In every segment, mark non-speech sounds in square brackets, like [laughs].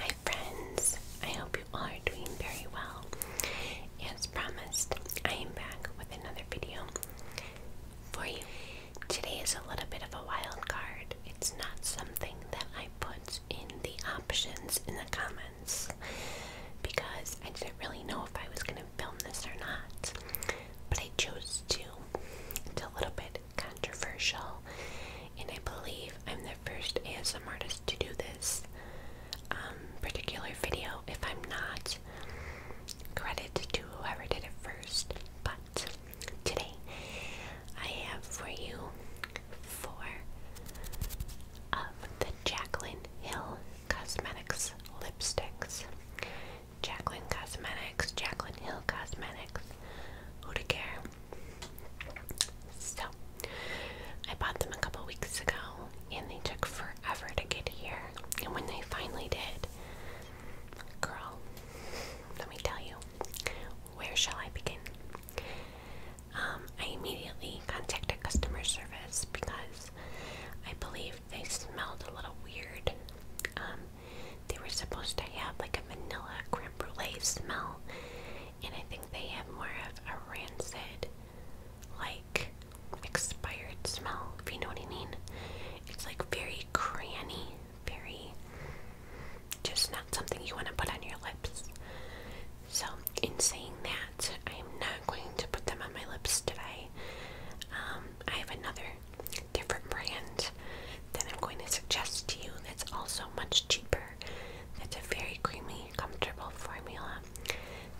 Hi friends, I hope you all are doing very well. As promised, I am back with another video for you. Today is a little bit of a wild card. It's not something that I put in the options in the comments because I didn't really know if I was going to film this or not. But I chose to. It's a little bit controversial, and I believe I'm the first ASM artist to do this um, particular video. If I'm not, credit to whoever did it first. But today, I have for you four of the Jaclyn Hill Cosmetics lipsticks. Jacqueline Cosmetics, Jacqueline Hill Cosmetics, Who to Care, so, I bought them a couple weeks ago and they took forever to get here. And when they finally did, girl, let me tell you, where shall I begin? Um, I immediately contacted customer service because I believe they smelled a little weird. Um, they were supposed to have like a vanilla creme brulee smell, and I think they have more of a rancid, like expired smell, if you know what I mean. It's like very cranny, very just not something you want to put on your lips. So, in saying that, I am not going to put them on my lips today. Um, I have another different brand that I'm going to suggest to you that's also much cheaper. That's a very creamy, comfortable formula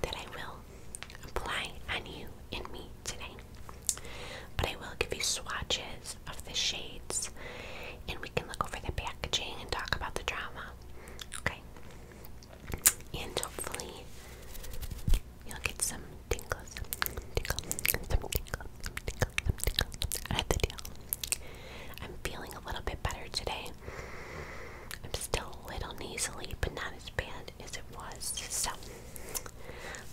that I will apply on you and me today. But I will give you swatches of the shades and we can look over the packaging and talk about the drama. Okay? And hopefully you'll get some tingles. Tingle. Some tingles some tickles, the deal. I'm feeling a little bit better today. I'm still a little nasally, but not as bad as it was. So,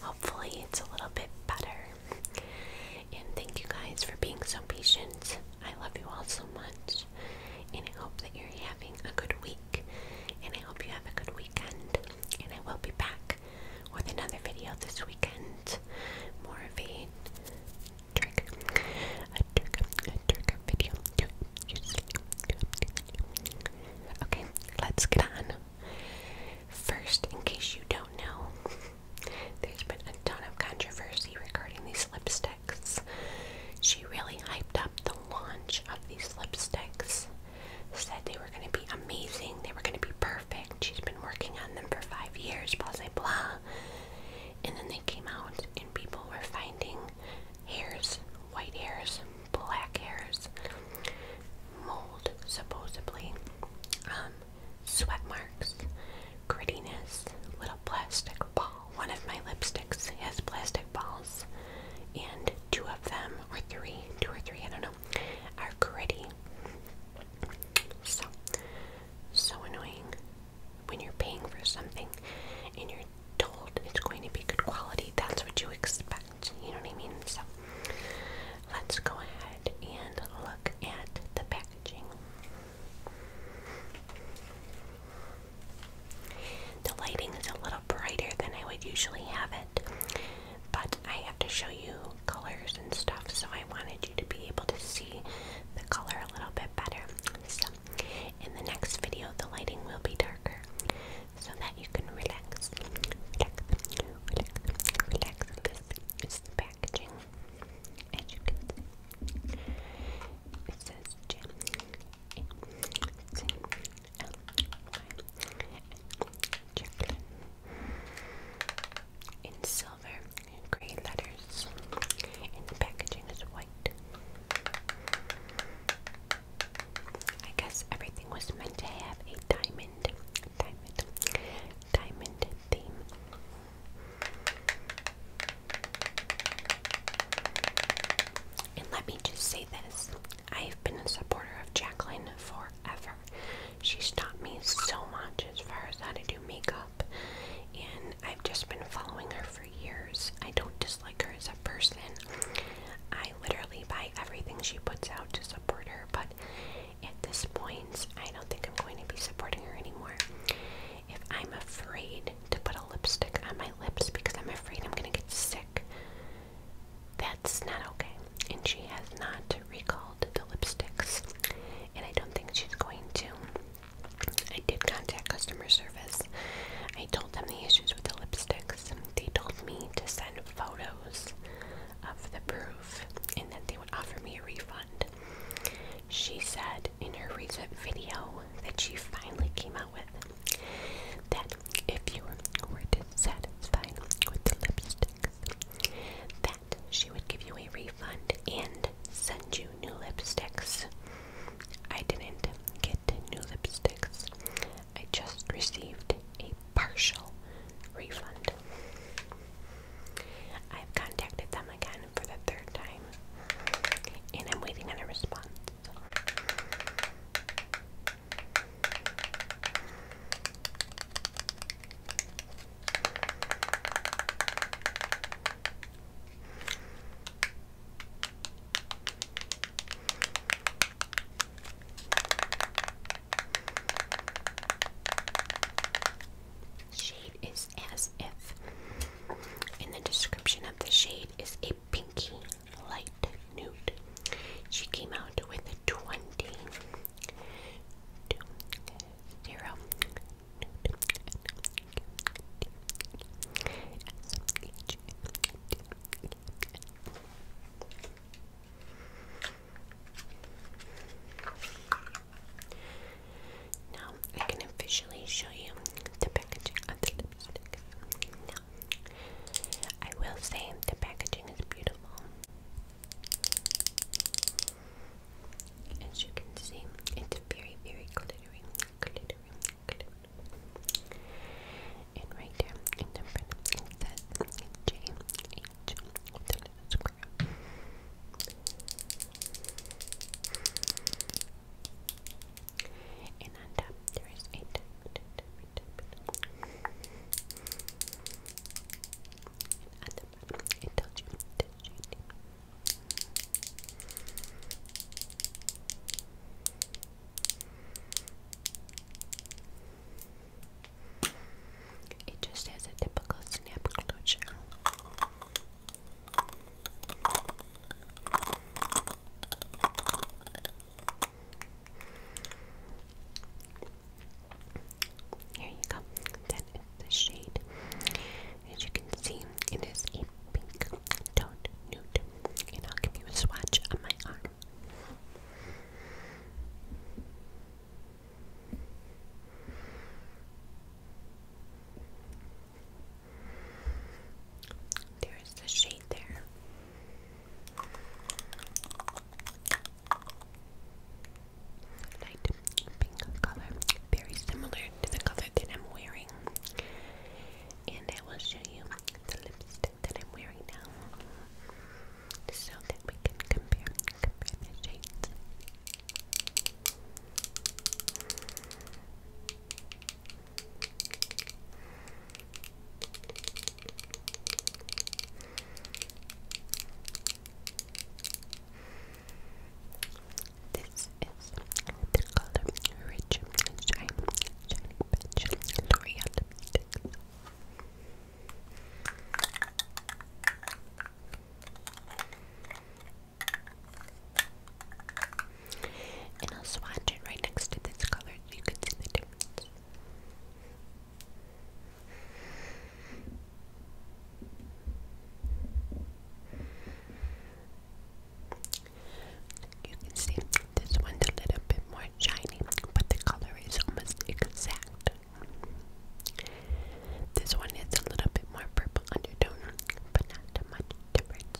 hopefully, it's a little bit better. And thank you guys for being so patient. I love you all so much. And I hope that you're having a good week. And I hope you have a good weekend. And I will be back with another video this weekend. More of a trigger, a trigger, a trigger video. Okay, let's get on. First, in case you don't know, there's been a ton of controversy regarding these lipsticks. She really hyped up the launch of these lipsticks, said they were going to be amazing, they were going to be perfect. She's been been working on them for five years, blah, blah, blah. And then they came out, and people were finding hairs, white hairs, black hairs, mold, supposedly, um, sweat marks, grittiness, little plastic ball. One of my lipsticks has plastic balls, and two of them, or three, two or three, I don't know, are gritty. So, so annoying when you're paying for something and you're told it's going to be good quality. That's what you expect. You know what I mean? So, let's go ahead and look at the packaging. The lighting is a little brighter than I would usually have it but I have to show you colors and stuff, so I wanted you to be able to see the color a little bit better. So, in the next video, the lighting will be darker so that you can relax. Relax, relax, relax. This packaging, as you can see. It says Chocolate in silver and gray letters, and the packaging is white. I guess everything was meant to have a diamond, diamond, diamond theme. And let me just say this I've been a supporter of Jacqueline forever. She's taught me so much as far as how to do makeup, and I've just been following her for years. I don't dislike her as a person. I literally buy everything she puts out to support her, but at this point, I don't think I'm going to be supporting her anymore. If I'm afraid to put a lipstick on my lips because I'm afraid I'm going to get sick, that's not okay. And she has not recalled sold the lipsticks, and I don't think she's going to. I did contact customer service. I told them the issues with the lipsticks. They told me to send photos of the proof and that they would offer me a refund. She said in her recent video that she finally came out with that if you were dissatisfied with the lipsticks, she would give you a refund and send you new lipsticks. I didn't get new lipsticks. I just received a partial refund. I've contacted them again for the third time and I'm waiting on a response. Shade is as if. And the description of the shade is a pinky light nude. She came out with 20 zero. Now I can officially show you the packaging of the lipstick. Now I will say the packaging is beautiful. As you can see, it's very, very glittery, glittery, And right there in the front, it says J H with little square. And on top there is a it just has a typical snap closure. Here you go. That is the shade. As you can see, it is a pink toned nude. And i give you a swatch on my arm. There's the shade there light pink color, very similar to the color that I'm wearing. And I will show you the lipstick that I'm wearing now, so that we can compare, the shades. This is the color Rich Shine L'Oreal And I'll swatch it right next to this color you can see the difference. You can see this one's a little bit more shiny, but the color is almost exact. This one is a little bit more purple undertone, but not much difference.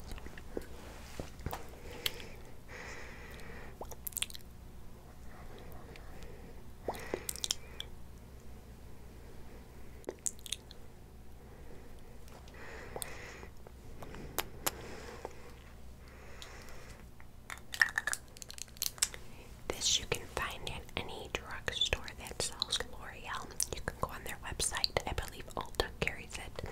This you can find in any drugstore that sells L'Oreal. You can go on their website. I believe Ulta carries it.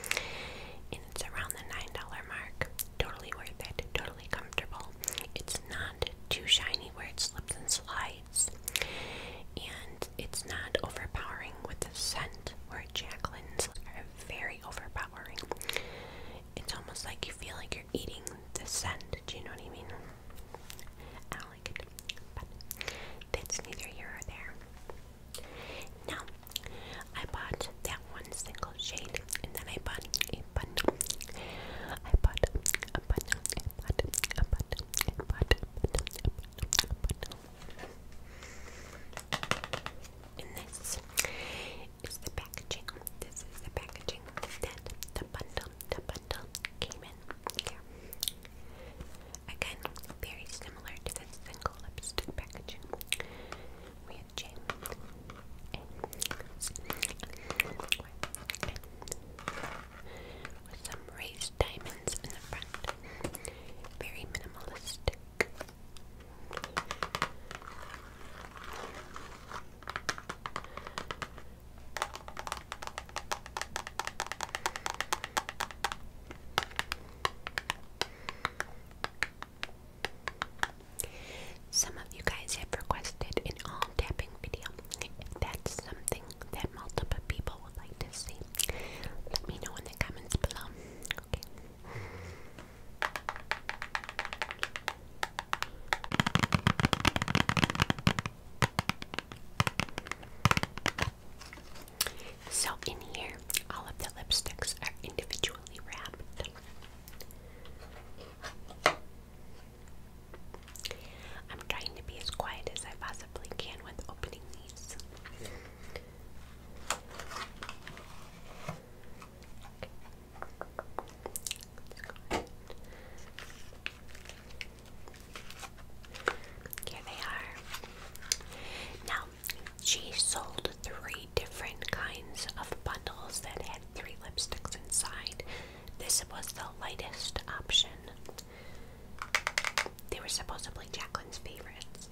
And it's around the $9 mark totally worth it, totally comfortable. It's not too shiny where it slips and slides, and it's not overpowering with the scent where Jacqueline's are very overpowering. It's almost like you feel like you're eating the scent. Do you know what I mean? I like it, that's neither here or there. Now, I bought that one single shade, and then I bought a bun. a bun. a bun. a bun. a bun. And this is the packaging. This is the packaging that the bundle, the bundle came in here. Again, very similar to the single lipstick packaging. J A S with some raised diamonds in the front. Very minimalistic. Some of you guys have requested an all tapping video. that's something that multiple people would like to see, let me know in the comments below. Okay. So, in here, all of the lipsticks are individually wrapped. I'm trying to be as quiet as I possibly can with opening these. Here they are. Now, she sold three different kinds of bundles that had three lipsticks inside. This was the lightest option. They were supposedly Jacqueline's favorites.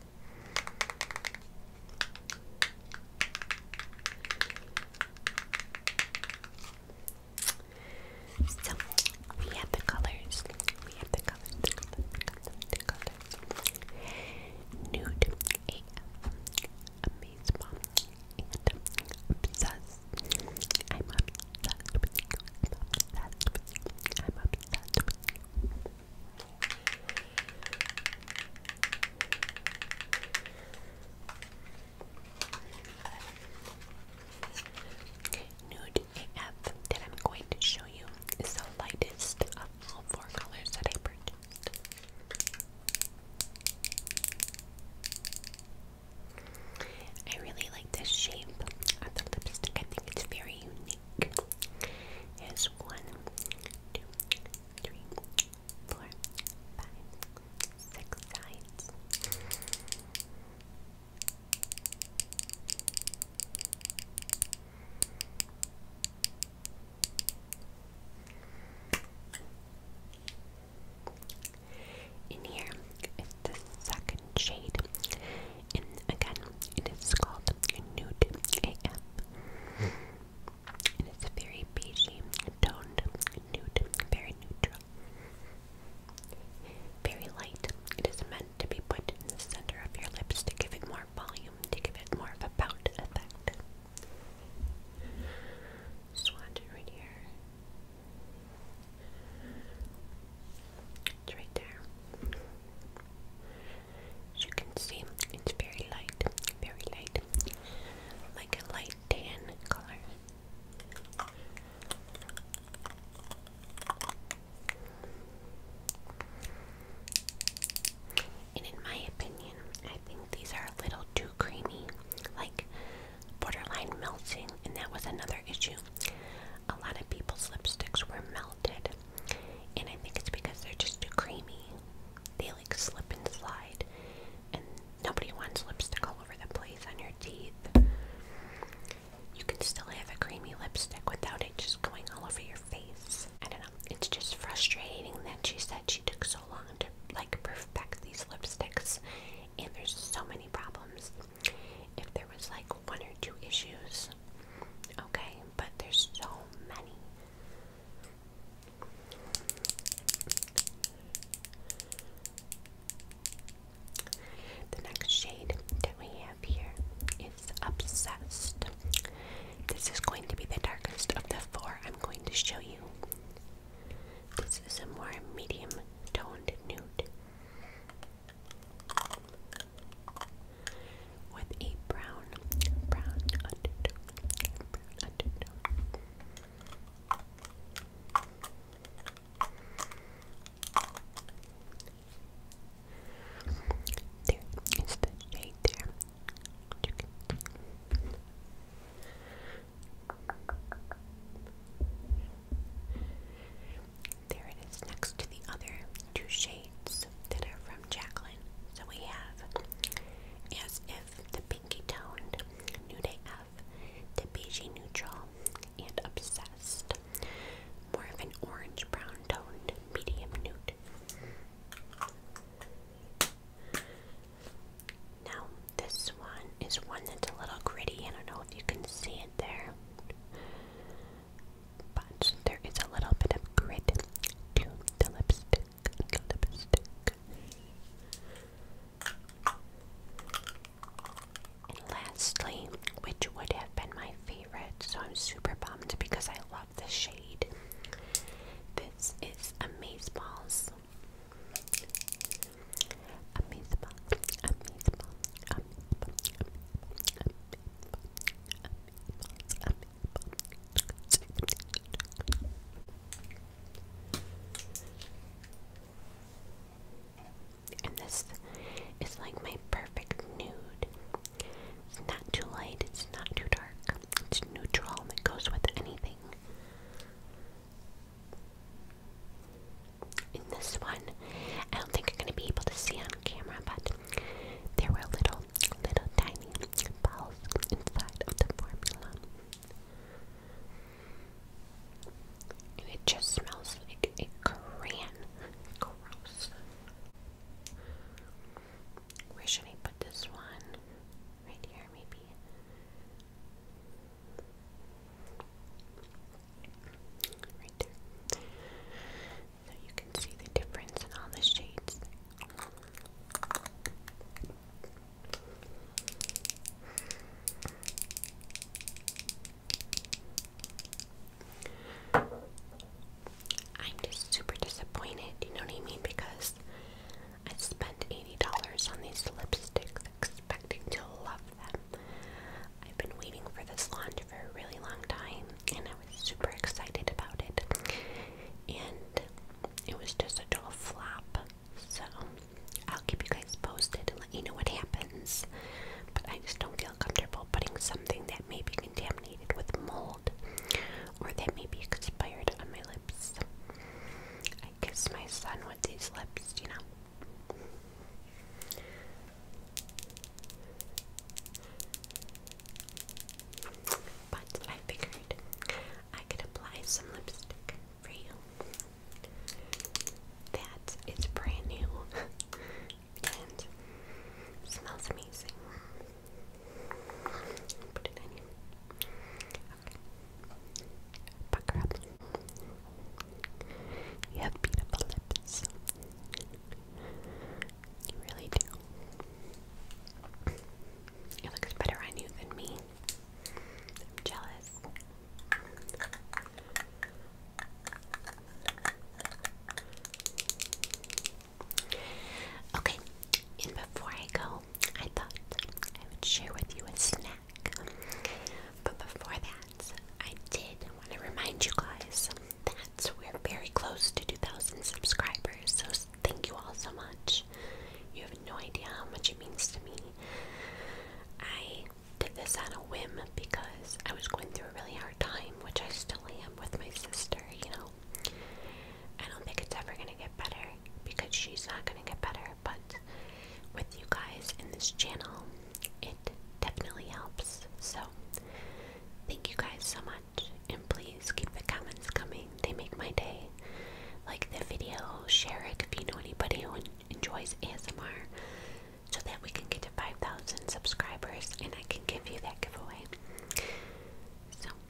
So we have the colors. We have the colors. Nude amazed and obsessed. I'm obsessed with you. I'm obsessed with you. I'm obsessed Nude AF that I'm going to show you is the lightest of all four colors that I purchased. I really like this shape of the lipstick. I think it's very unique. Here's one, two, three, four, five, six sides. In here is the second shade, and again, it is called a Nude AF. It is a very beigey, toned, nude, very neutral, very light. It is meant to be put in the center of your lips to give it more volume, to give it more of a pout effect. Swatch right here. It's there. As you can see, it's very light, very light, like a light tan color. And in my opinion, I think these are a little too creamy, like borderline melting, and that was another issue. A lot of people's lipsticks were melted, and I think it's because they're just too creamy. They like slip and slide, and nobody wants lipstick all over the place on your teeth. You can still have a creamy lipstick without it just going all over your face. I don't know, it's just frustrating that she said she took so long to like perfect these lipsticks and there's so many problems. If there was like one or two issues, okay, but there's so many. The next shade that we have here is Obsessed. This is going to be the darkest of the four I'm going to show you. This is a more medium toned nude with a brown, brown undertone. There is the shade there. There it is next to the other two shades that are from Jacqueline. So we have As If, the Pinky Toned, Nude AF, the beige Neutral, and Obsessed. More of an orange brown toned medium nude. Now, this one is one that's a little gritty. I don't know if you can see it there, but there is a little bit of grit to the lipstick. And lastly, which would have been my favorite, so I'm super bummed because I love the shade favorites is Amazeballs. Amazeball, Amazeball, Amazeball, Amazeball, Amazeball, And this is like my perfect nude. It's not too light, it's not too dark, neutral that goes with anything. In this one, I don't think you're going to be able to see on camera, but there were little, little tiny balls inside of the formula. And it just smells like a crayon. Gross. Where should I put this one? Right here, maybe. Right there. So you can see the difference in all the shades. I'm just super disappointed, you know what I mean? Because I spent $80 on these lipsticks expecting to love them. I've been waiting for this launch for a really long time and I was super excited about it. And it was just a total flop. So I'll keep you guys posted and let you know what happens. But I just don't feel comfortable putting something that may be contaminated with mold or they may be expired on my lips. I kiss my son with these lips, you know. But I figured I could apply some lipstick for you. That is brand new [laughs] and smells amazing. Put it in here. Okay. Pucker up. You have beautiful lips. You really do. It looks better on you than me. I'm jealous. Okay, and before I go, I thought I would share with you a snack. But before that, I did want to remind you guys that we're very close to 2,000 subscribers. So thank you all so much. You have no idea how much it means to me. I did this on a whim because I was going through a really hard time, which I still am with my sister, you know. I don't think it's ever gonna get better because she's not gonna get better, but with you guys in this channel, it definitely helps. So, thank you guys so much, and please keep the comments coming, they make my day. Like the video, share it if you know anybody who enjoys ASMR so that we can get to 5,000 subscribers and I can give you that giveaway. So,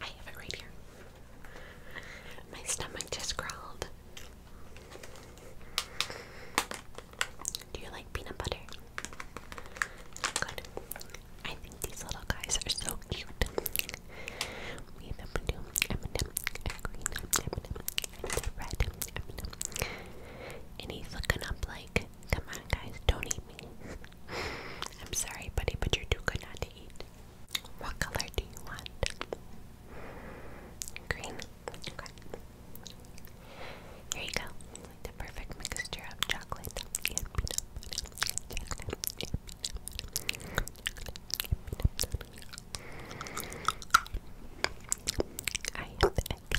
I have it right here. My stomach just growled. Do you like peanut butter? Good. I think these little guys are so cute. And he's looking up like Come on, guys, don't eat me. [laughs] I'm sorry, buddy, but you're too good not to eat. What color do you want? Green. Here you go. the perfect mixture of chocolate so good.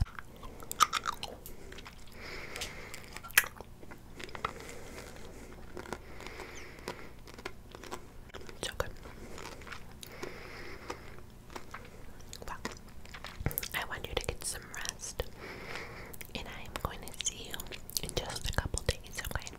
Well, I want you to get some rest, and I am going to see you in just a couple days, okay?